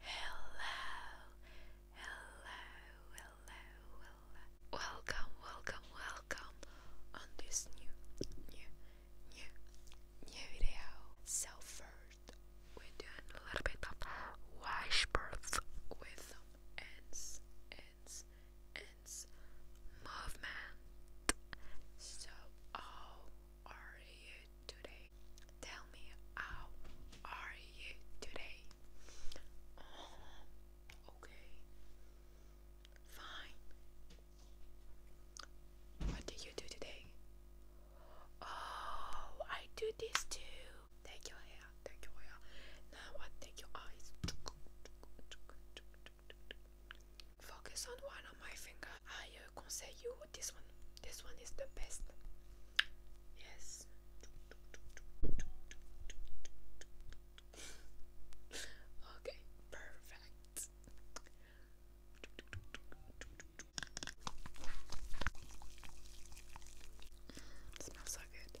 Hello, hello, hello, hello. Welcome, welcome, welcome on this new, new, new, new video. So first, we're doing a little bit of wash with some ends, ends, ends movement. So, oh are you today? Tell me how are you today? okay. Fine. What did you do today? Oh, I do this too. Take your hair, take your hair. Now what? Take your eyes. Focus on one my finger. I uh, you this one. This one is the best. Yes. okay, perfect. smells so good.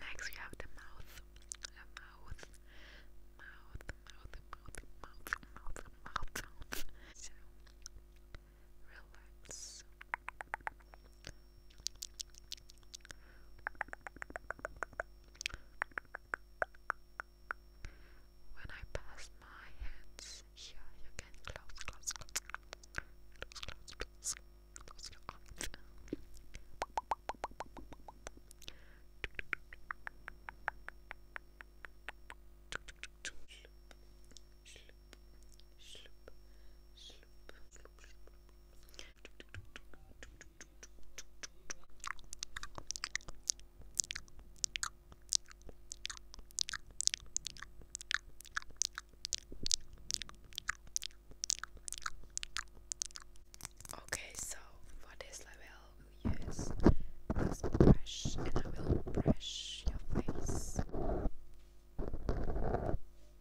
Next, we have the mouth. The mouth. Mouth, mouth, mouth, mouth, mouth, mouth sounds. So, relax. Relax. When I pass my hands here, you can close, close, close, close, close, close, close your eyes. Sloop, sloop, sloop, sloop, sloop, Okay, so for this level, we use this brush and I will brush your face.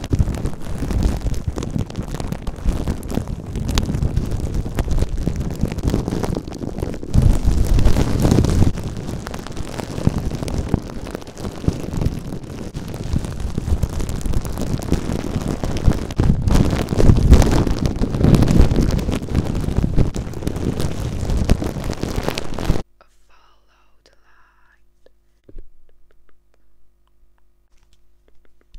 Follow the light. Follow the light, follow, follow, follow, follow,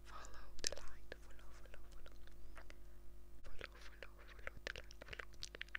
follow, follow the light, follow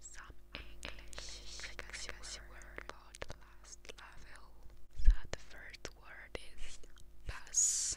some English legacy word for the last level. So the first word is Pass.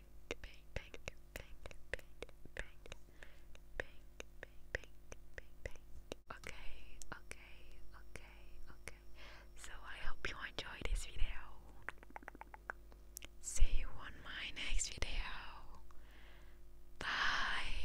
Okay, okay, okay, okay. So I hope you enjoyed this video. See you on my next video. Bye.